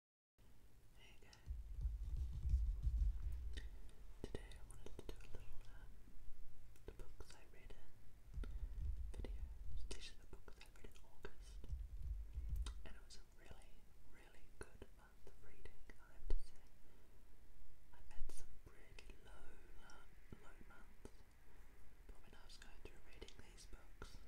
Hey guys. Today I wanted to do a little uh, the books I read video. These the books I read in August. And it was a really, really good month of reading, I have to say. I've had some really low uh, low, months. But I was going through reading these books,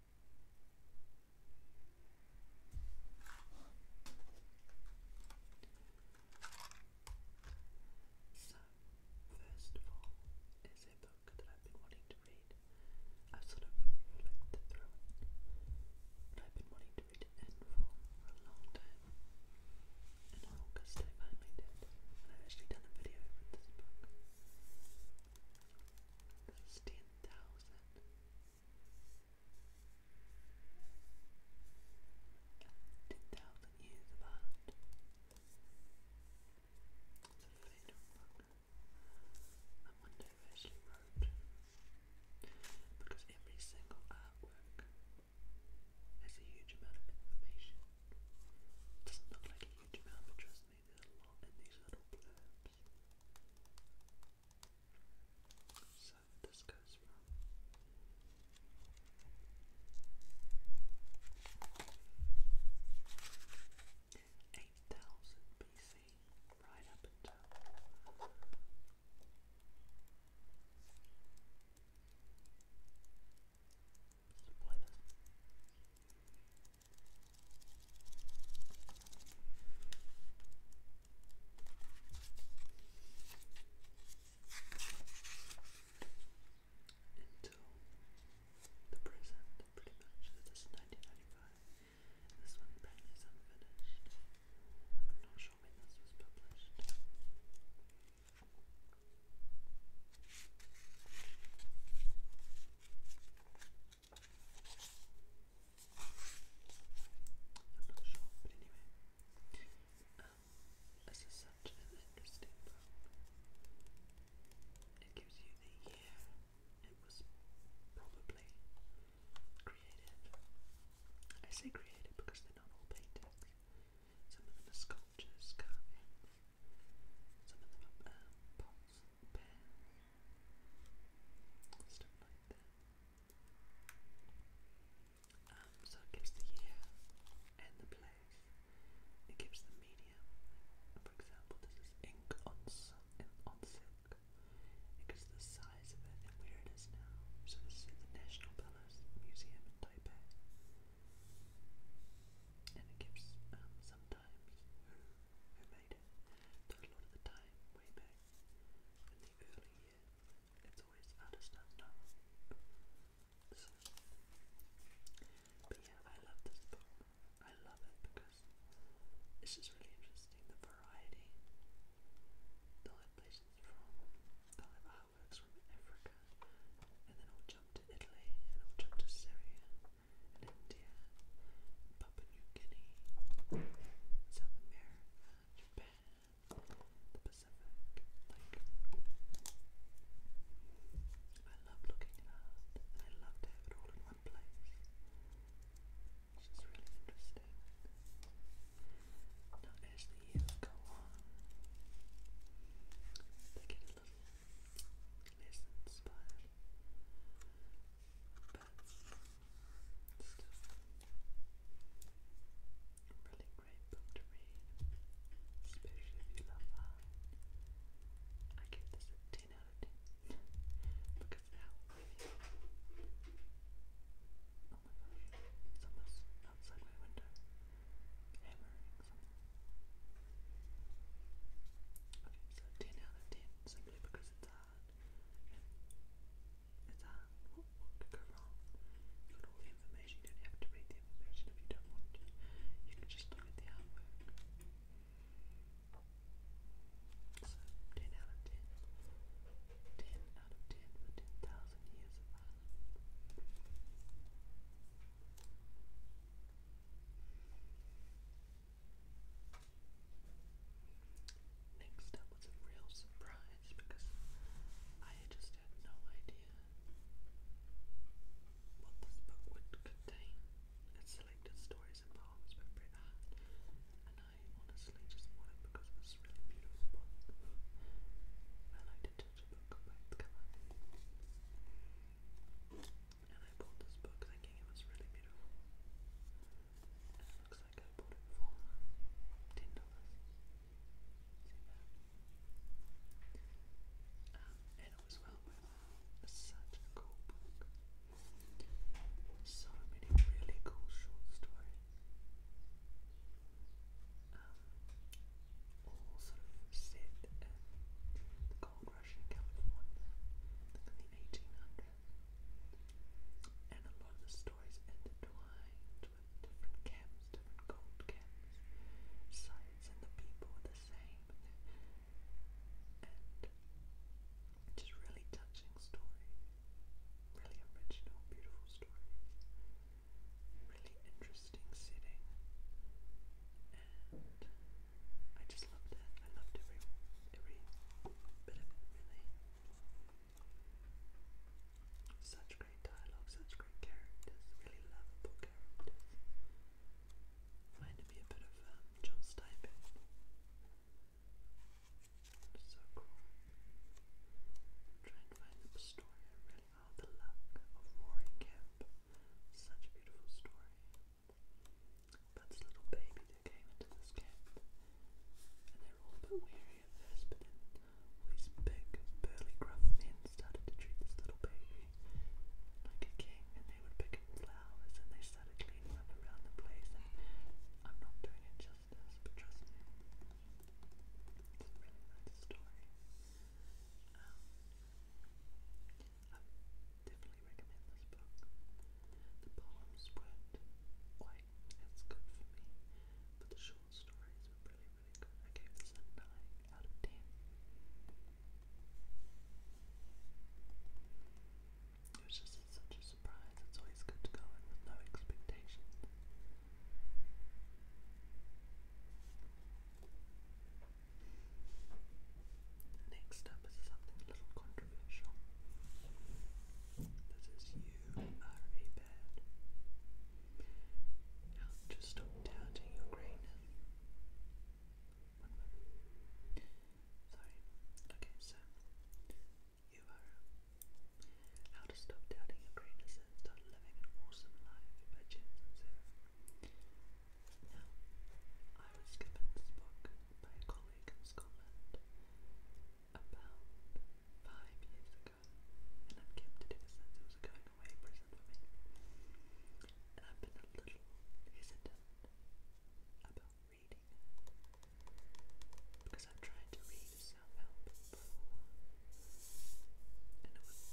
So, first of all, it's a book that I've been wanting to read. I've sort of flicked through it, but I've been wanting to read it for a long time. In August, I finally did, and I've actually done a video with this book thousand. Ten thousand years of book. I wonder who actually Because every single artwork has a huge amount of information. doesn't look like a huge amount, but trust me, there's a lot in these little blurs. So this goes from eight thousand BC right up until until the present, pretty much. This is 1995. This one apparently is unfinished. not sure when this was published i um, this is such an interesting It gives you the year it was probably created. I say created because they're not all paintings. Some of them are sculptures, carvings, some of so it gives the year and the place. It gives the medium. For example, this is ink on, silk. It gives the size of it and where it is now. So this is the National Palace Museum in Taipei. And it gives um, sometimes who made it, I love this book. I love it because it's just really interesting, the variety. they have places from, they have artworks from Africa, and then I'll jump to Italy, and I'll jump to Syria, in India, Papua New Guinea, South America, Japan, the Pacific. Like, I love looking at art, I love to have it all in one place. Which is really interesting. Now, as the years go on, they get a little less inspired. But really great book to read, especially if you love art. I give this a 10 out of 10 because of how really Oh my gosh, someone's outside my window hammering. Okay, so 10 out of 10 simply because it's hard. it's hard. What, could go wrong? You've all the information, you don't have to read the information if you don't want to. You can just look at the artwork. So 10 out of 10. 10 out of 10 for 10,000 years of art. Next up was a real surprise because I just had no idea what this book would contain. It's selected stories and poems by Bret and I honestly just bought it because a really beautiful book. I like to judge a book by its cover and I bought this book thinking it was really beautiful. And it looks like I bought it for ten dollars. Um, and it was well worth it. It's such a cool book. So many really cool short stories. Um, all sort of set in the Cold crash in in the 1800s, and a lot of the stories intertwined with different camps, different gold camps, sites, and the people were the same, just really touching stories, really original, beautiful stories, really interesting setting. I just loved it. I loved every every bit of it Such great dialogue, such great characters, really lovable characters. Reminded me a bit of um, John Steinbeck. So cool. Try and find the story. really, oh, the luck of Roaring Camp. Such a beautiful story. But the little baby that came into this camp, and they were all a weary at first, but then these big, burly, gruff men started to treat this little baby like a king, and they would pick up flowers, and they started cleaning up around the place, I'm not doing it justice, but trust me, it's a really nice story. Um, I definitely recommend this book. The poems weren't quite as good for me, but the short stories were really, really good. I gave this a 9 out of 10. It was just such a surprise. It's always good to go in with no expectations. Next up is something a little controversial. This is you are a bird. Now just stop doubting your greatness. Sorry. Okay, so you are how to stop doubting your greatness and start living an awesome life by James now, I was given this book by a colleague in Scotland about five years ago, and I've kept it ever since it was a going away present for me. And I've been a little hesitant about reading because I've tried to read a self help before, and it was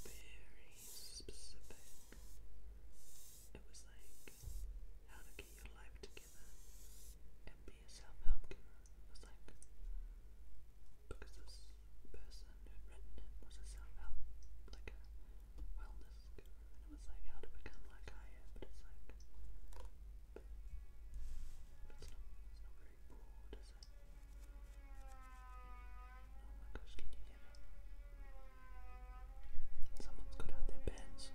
very specific. It was like how to get your life together and be a self-help guru. It was like because this person who'd it was a self-help, like a wellness guru, it was like how to become like I am, but it's like it's not it's not very broad, Oh my gosh, can you hear that? Someone's got out their bandsaw. Goodness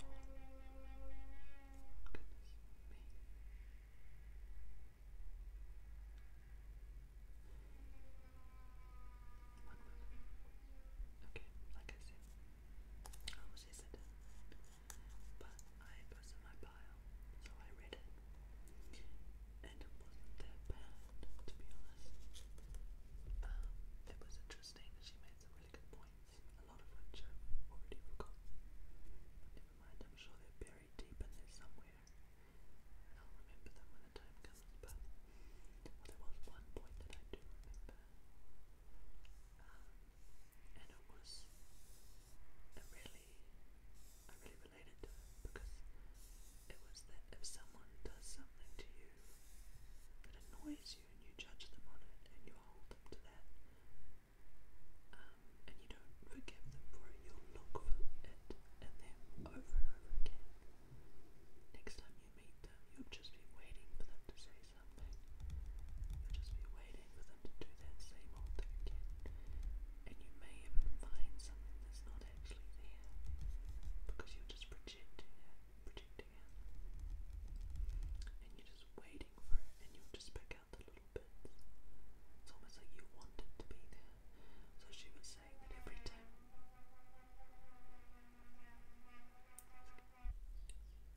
Okay, like I said, I was hesitant, but I posted my bio, so I read it and it wasn't that bad, to be honest. Um, it was interesting, and she made some really good points, a lot of which I've already forgotten. never mind, I'm sure they're buried deep in there somewhere, I'll remember them when the time comes. But there was one point that I do remember, um, and it was, it really, I really related to because it was that if someone does something to you that annoys you and you judge them on it and you hold them to that, um, and you don't forgive them for it, you'll look for it in them over and over again. Next time you meet them, you'll just be waiting for them to say something. You'll just be waiting for them to do that same old thing And you may even find something that's not actually there because you're just projecting it, projecting it, and you're just waiting for it, and you just pick out the little bits. It's almost like you want to be there. So she was saying that every time,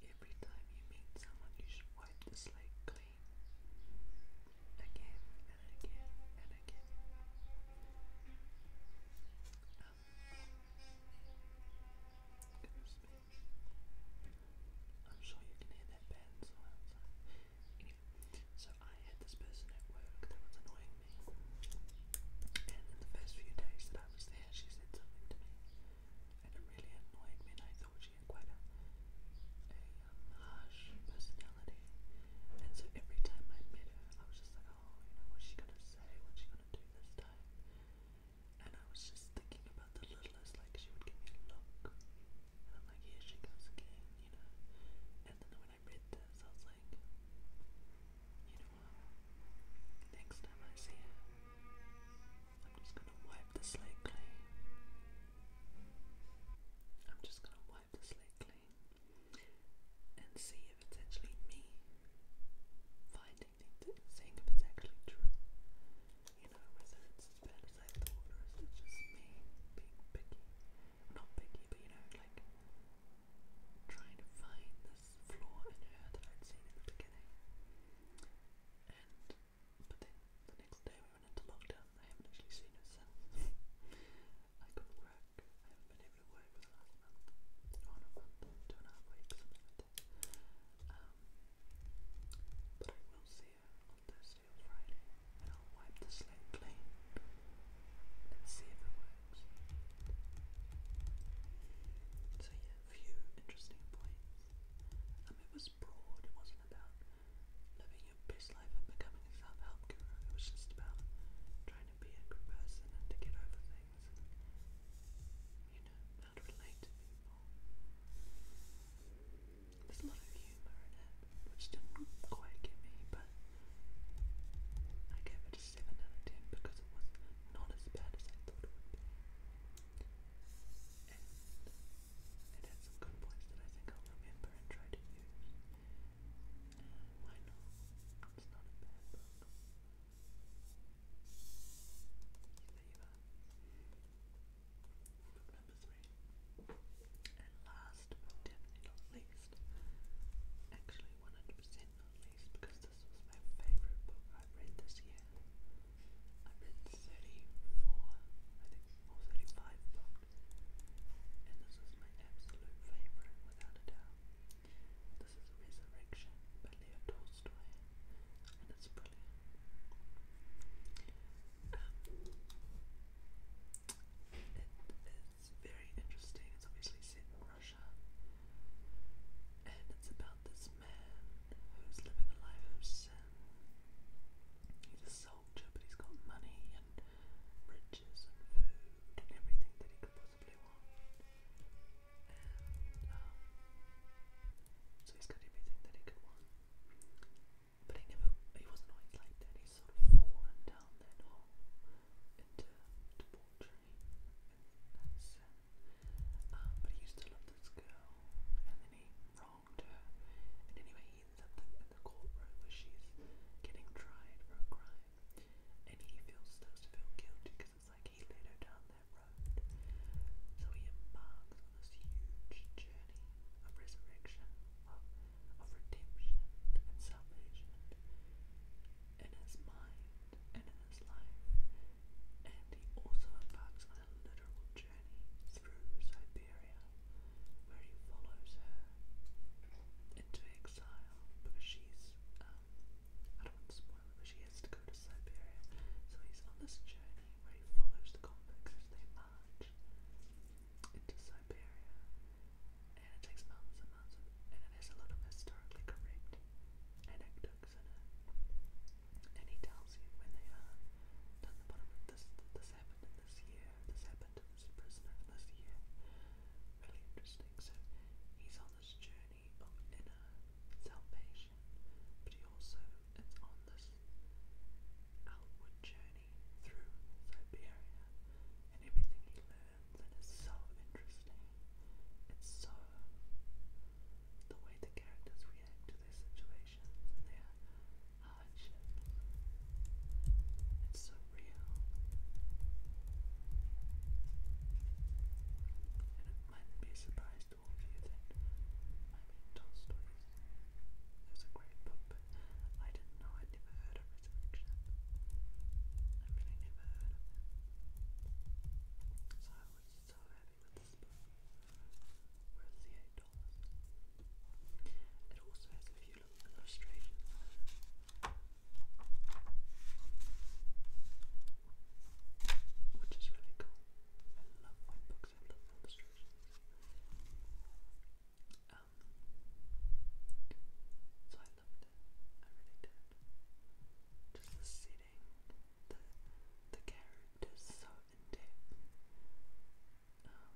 every time you meet someone, you should wipe the slate clean, again and again and it I'm sure you can hear that band sounds. so I had this person at work that was annoying me. And in the first few days that I was there, she said something to me. And it really annoyed me, I thought she had quite a, a harsh personality. And so every time I met her, I was just like, oh, you know, what's she gonna say? What's she gonna do this time? And I was just thinking about the littlest, like she would give me a look. And I'm like, here she goes again, you know. And then when I read this, I was like, you know what? Next time see her, I'm just gonna wipe the slate clean. I'm just gonna wipe the slate clean and see if it's actually me finding seeing if it's actually true. You know, whether it's as bad as I thought or is it just me being picky? Not picky, but you know, like trying to find this flaw in her I'd seen in the beginning. And but the next day we went into lockdown. I haven't actually seen I could work. I haven't been able to work for the last month, or month, two and a half weeks, something like Um, but I will see her on Thursday or Friday, and I'll wipe the slate clean and see if it works. So yeah, a few interesting points. Um, it was broad. It wasn't about living your best life and becoming a self-help guru. It was just about trying trying to be a good person to get over things you know, how to relate to people. There's a lot of humour in it, which didn't quite get me, but I gave it a 7 out of 10 because it was not as bad as I thought it would be. it had some good points that I think I'll remember and try to use. I know it's not a bad book. number three. And last but definitely not least, actually 100% not least, because this was my favourite book I read this year. I read 34, I think, or 35 and this is my absolute favourite without a doubt. This is Resurrection by Leo Tolstoy, and it's brilliant. Um, it is very interesting, it's obviously set in Russia, and it's about this man who's living a life of sin. He's a soldier, but he's got money and beverages and food and everything that he could possibly want. Um, so he's got everything that he could want. But he never, he wasn't always like that. He's sort of fallen down that hole into debauchery and sin. Um, but he used to love this girl, and then he wronged her. And anyway, something in the courtroom where she's getting tried for a crime, and he feels starts to feel guilty because it's like he led her down that road. So he embarks on this huge journey of resurrection, of, of redemption and salvation in his mind and in his life. And he also embarks on a literal journey through Siberia where he follows her into exile because she's, um, I don't want to spoil it, but she has to go to Siberia. So he's on this journey where he follows the convicts as they march into Siberia. And it takes months and it has a lot of historically correct anecdotes in it. And he tells you when they are down this, this in this year, this happened happened as a prisoner of this year. Really interesting. So he's on this journey of inner salvation, but he also is on this outward journey through Siberia, and everything he learns, and it's so interesting. It's so the way the characters react to their situations touch. It's so real. it mightn't be a surprise to all of you I mean Tolstoy's is a great book, but I didn't know i never heard of Resurrection. I really never heard of it. So I was so happy with this book. Where's the eight dollars? It also has a few you which is really cool. I love my books, I love illustrations. Um, so I loved it, I really did. Just the setting, the, the characters so in depth. Um,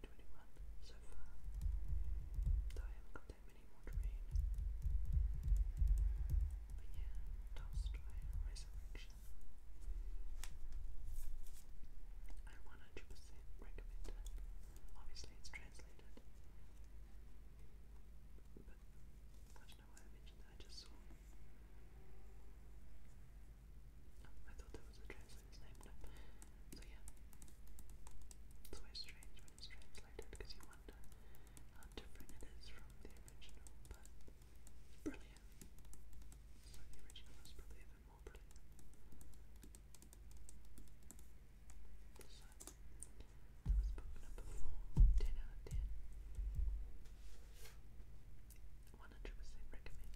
2021 so far. Though I haven't got that many more to read. But yeah, Tolstoy, Resurrection. I 100% recommend it. Obviously, it's translated. But I don't know why I mentioned that, I just saw. Oh, I thought that was the translator's name. So yeah, it's always strange when it's translated because you wonder how different it is from the original, but it's brilliant. So the original is probably even more brilliant. that was book number four, 10 out of 10. 100% recommend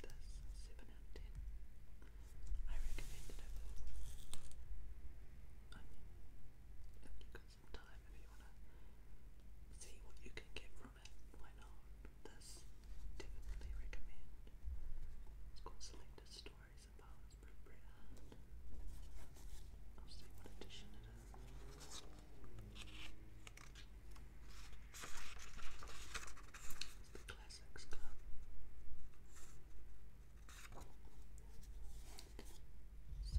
this 7 out of 10 I recommend it I mean, if you've got some time, if you want to see what you can get from it, why not? This definitely recommend it's called Selected Stories and Powers I'll see what edition it is the Classics Club. So,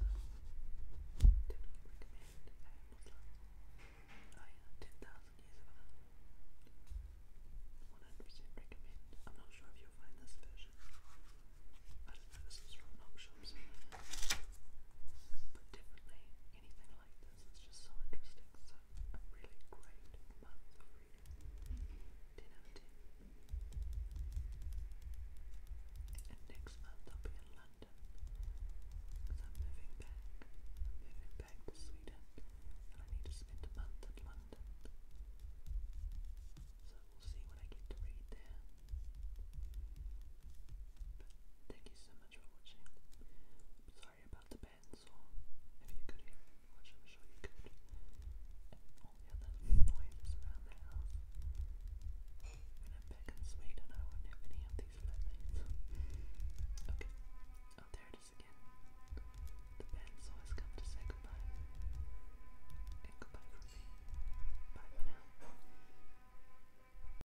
10,000 years of 100% recommend. I'm not sure if you find this version. I don't know, this is from Knock But definitely anything like this is just so interesting. So, a really great month of reading. 10 out And next month I'll be in London. Because moving back. moving back to Sweden. And I need to spend a month in London. So we'll see what I get to read there. But thank you so much so much for watching. Sorry about the pencil. If you could hear it, which I'm sure you could, and all the other noises around the house. When I'm back in Sweden, I won't have any of these flatmates. okay. Oh, there it is again. The pencil has come to say goodbye. And goodbye for me. Bye for now.